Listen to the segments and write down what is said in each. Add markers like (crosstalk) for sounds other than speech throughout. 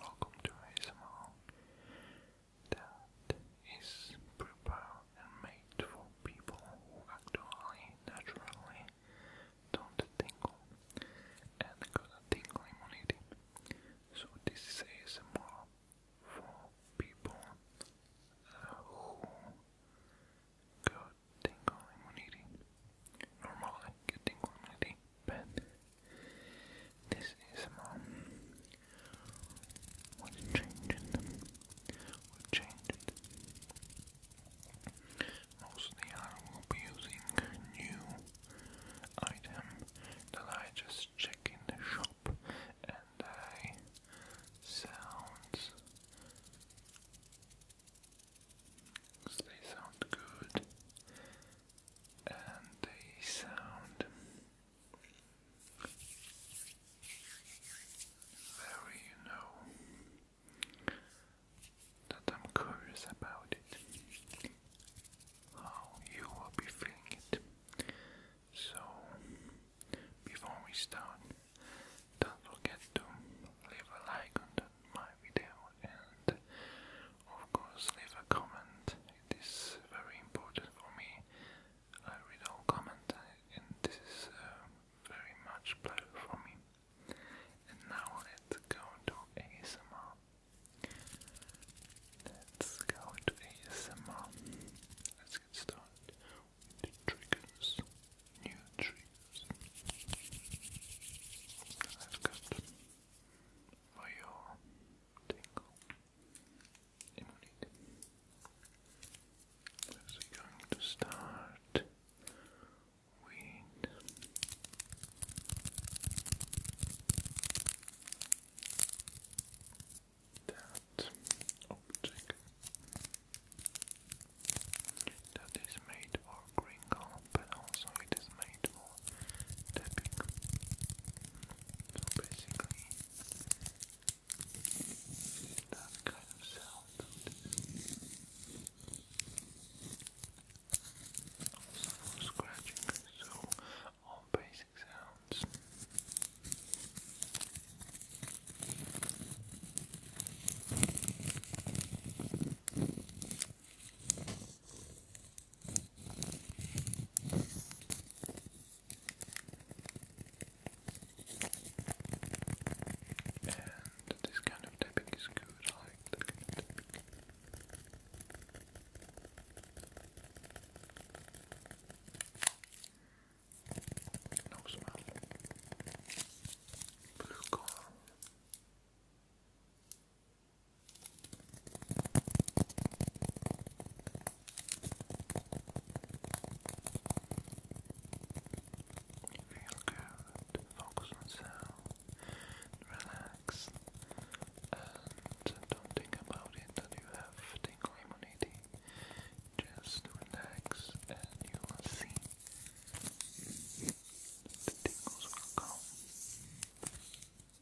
Welcome to ASMR that is prepared and made for people who actually naturally don't tingle and got tingle immunity. So this is ASMR for people uh, who got tingle immunity. Normally tingle immunity, but this is mom. Um, what's changing? What changed? Mostly I will be using new item that I just check in the shop and I sounds they sound good and the sound very you know that I'm curious about it how you will be feeling it so before we start don't forget to leave a like on the my video and of course leave a comment. It is very important for me. I read all comments and this is um, very much pleasure for me. And now let's go to ASMR. Let's go to ASMR. Let's get started New triggers for your tingle immunity. So going to start with that object that is made made for crinkle, but also it is made for tapping. So basically, that kind of sound. Also for scratching, so all basic sounds. And this kind of tapping is good, like No smell. Blue color. Feel good, focus on sound, relax, and don't think about it that you have tingle immunity. Just relax and you will see the tingles will come.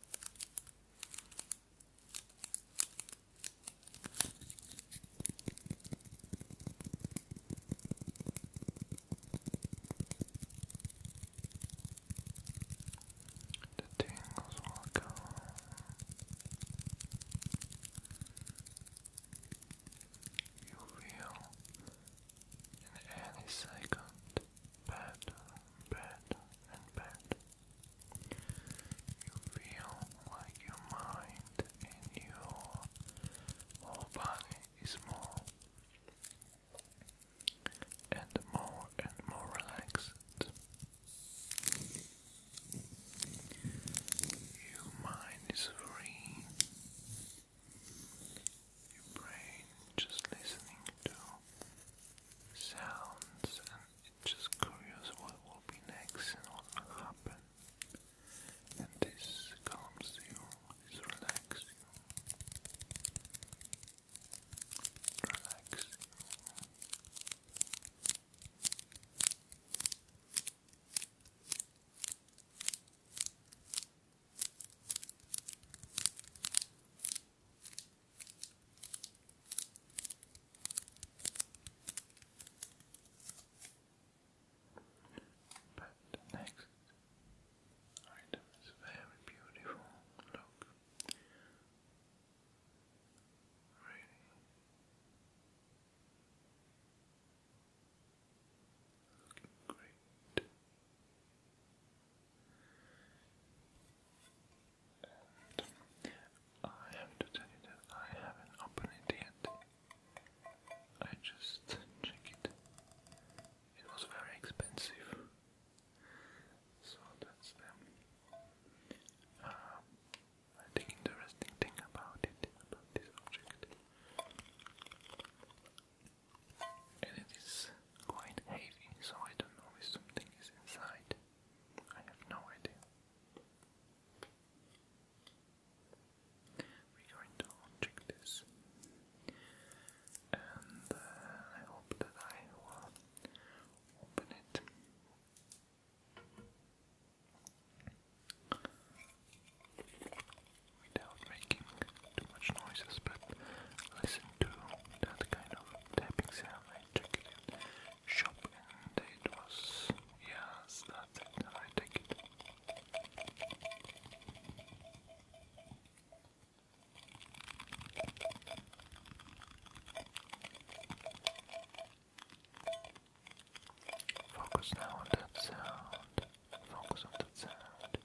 The tingles will come. You feel in any second bed, bed, and bed. You feel like your mind and your whole body is more and more and more relaxed. Your mind is free your brain just listening to sounds and just curious what will be next and what will happen. And this calms you, this relaxes you. Relax. Relax. But the next item is very beautiful. Look, really looking great. I have to tell you that I haven't opened it yet. I just check it. It was very expensive. So that's them. Um, I think interesting thing about it, about this object. And it is quite heavy, so I don't know if something is inside. I have no idea. We're going to check this, and uh, I hope that I will open it. Without making too much noises, but listen to that kind of tapping sound. I took it in shop was yes, that's it. I take it. Focus now on that sound. Focus on that sound.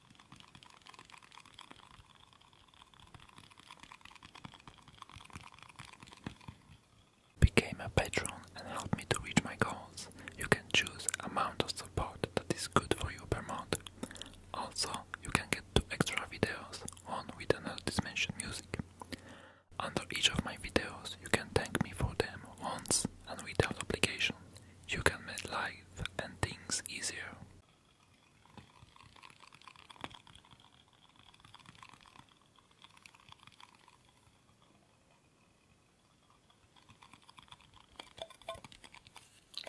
Became a patron and help me to reach my goals. You can choose amount of support that is good for you per month. Also, you can get two extra videos, one with an mentioned music. Under each of my videos, you can thank me for them once and without obligation. You can like things easier.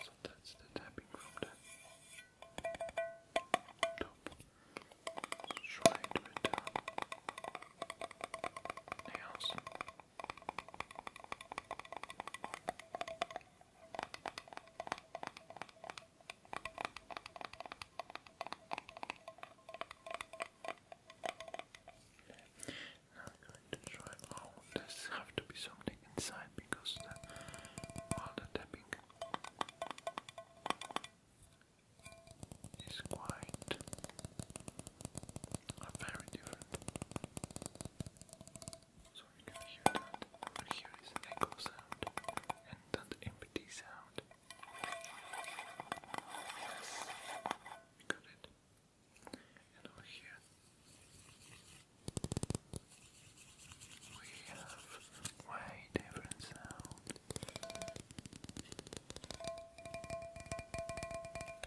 So that's the tapping from the top. Try to nails. Now I'm going to try oh there's have to be something inside because the all tapping is quite uh, very different. So so can hear that. But here is an echo sound and that empty sound. Yes, we got it. And over here we have way different sound.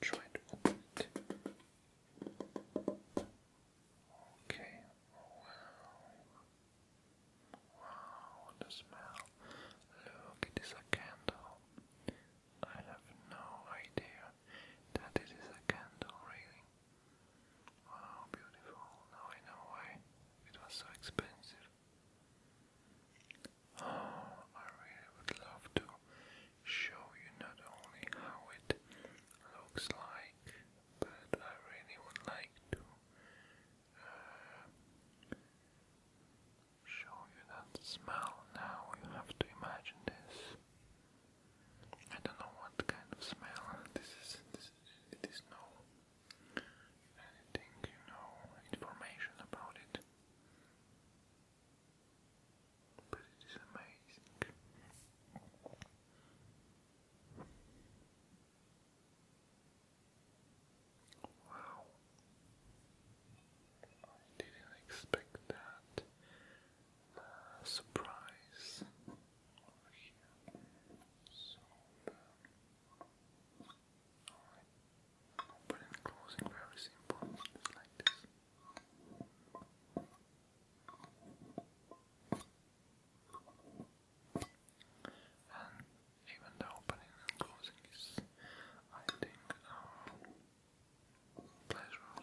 Try to it. Okay. Wow. Wow, what smell. Look, it is a candle. I have no idea that it is a candle, really. Wow, beautiful. Now I know why it was so expensive. Oh, (gasps) I really would love to show you not only how it looks like, but I really would like to uh, show you that smell now. You have to imagine this. I don't know what kind of smell this is. it is no anything, you know, information about it. But it is amazing. Wow. I didn't expect that uh, surprise Opening and closing very simple, just like this. And even the opening and closing is, I think, um, pleasure of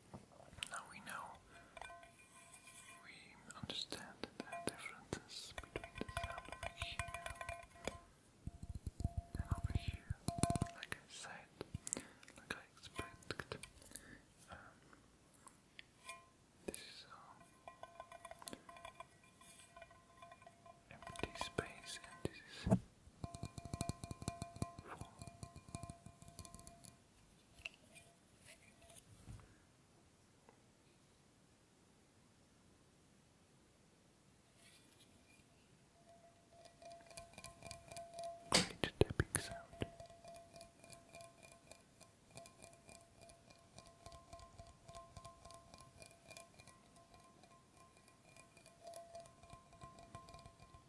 Now we know, we understand the differences between the sound here and over here. Like I said, like I expected. Um, this is um, empty space, and this is full. Great tapping sound. Okay,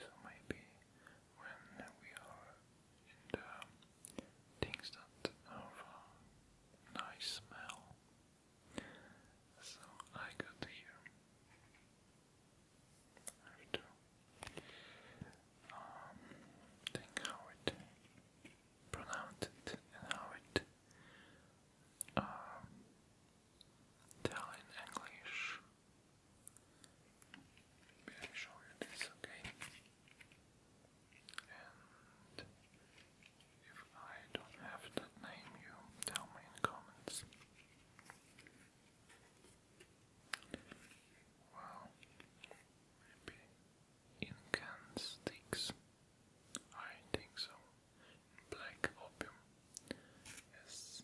so maybe when we are in the things that have a nice smell, so I got here. I have think how it pronounced it and how it um, tell in English. Maybe I show you this, okay? If I don't have that name, you tell me in comments. Well, maybe Incan sticks. I think so. Black opium. Yes.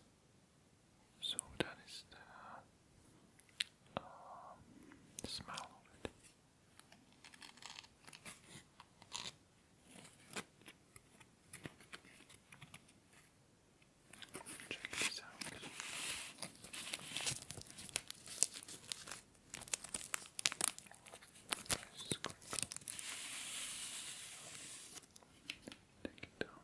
So that is the uh, smell of it. Check this out. Just click. Take it out.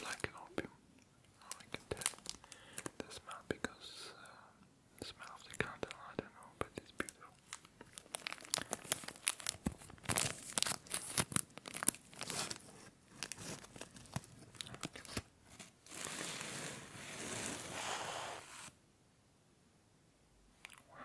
black and opium. Oh, I can tell the smell because the smell of the candle, I don't know, but it's beautiful. Wow.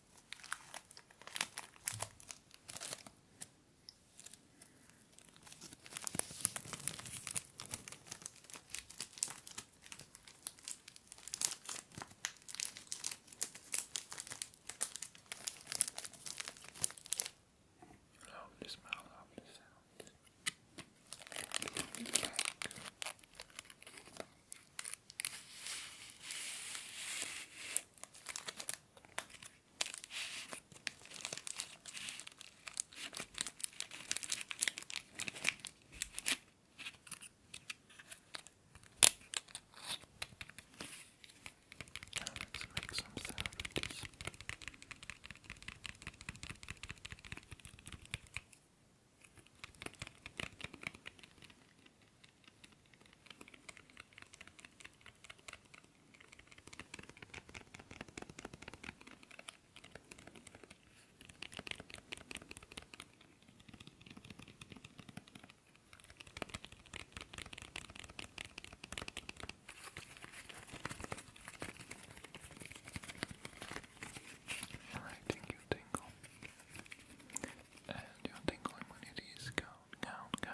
Lovely smell, lovely sound. Now let's make some sound with this. All right, thank you, Tingle and you're tingling when it is gone, gone,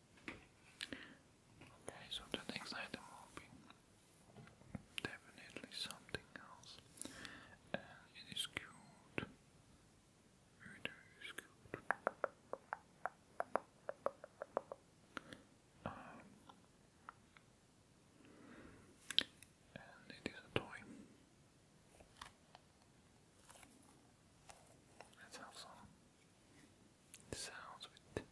Okay, so the next item will be definitely something else. it is cute. It is cute. Um, and it is a toy. Let's sounds with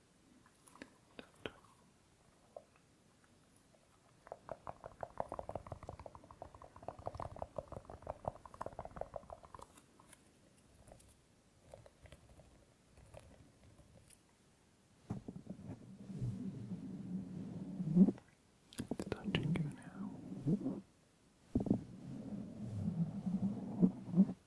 touching you now.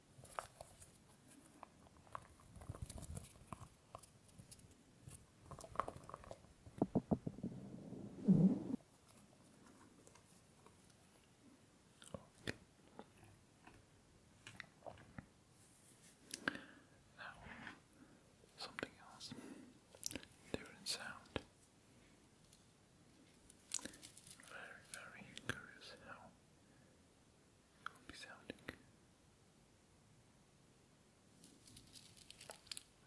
Okay. Now, something else, different sound. Very, very curious how It'll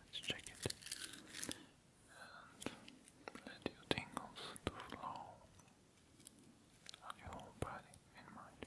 Let's check it and let your tingles to flow on your whole body and mind.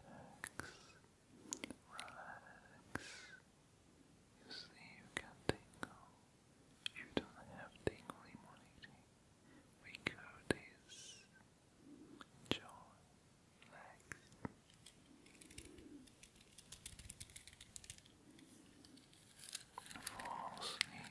Relax, You see, you can tingle. You don't have tingle immunity. We call this enjoy, relax. Fall asleep.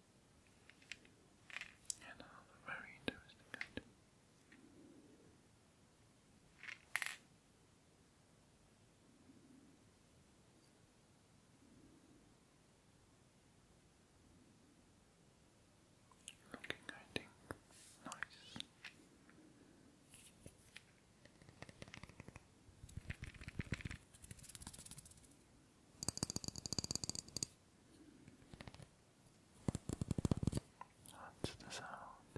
And another very interesting Looking, I nice. That's the sound.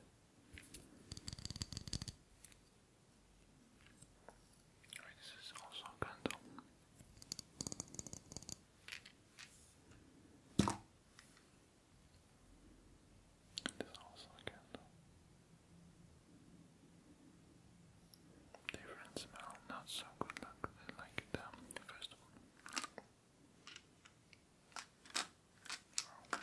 this is also a candle. This also a candle. Different smell, not so good luck like the um, first one. Oh,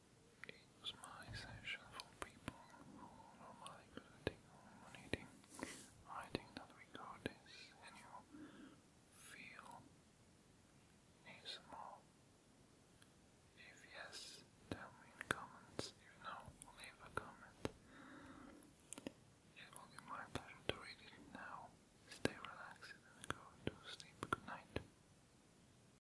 It was my session for people who normally not take on eating. I think that we got you feel is more. If yes, tell me in comments. If no, leave a comment. It will be my pleasure to read it now. Stay relaxed and go to sleep. Good night.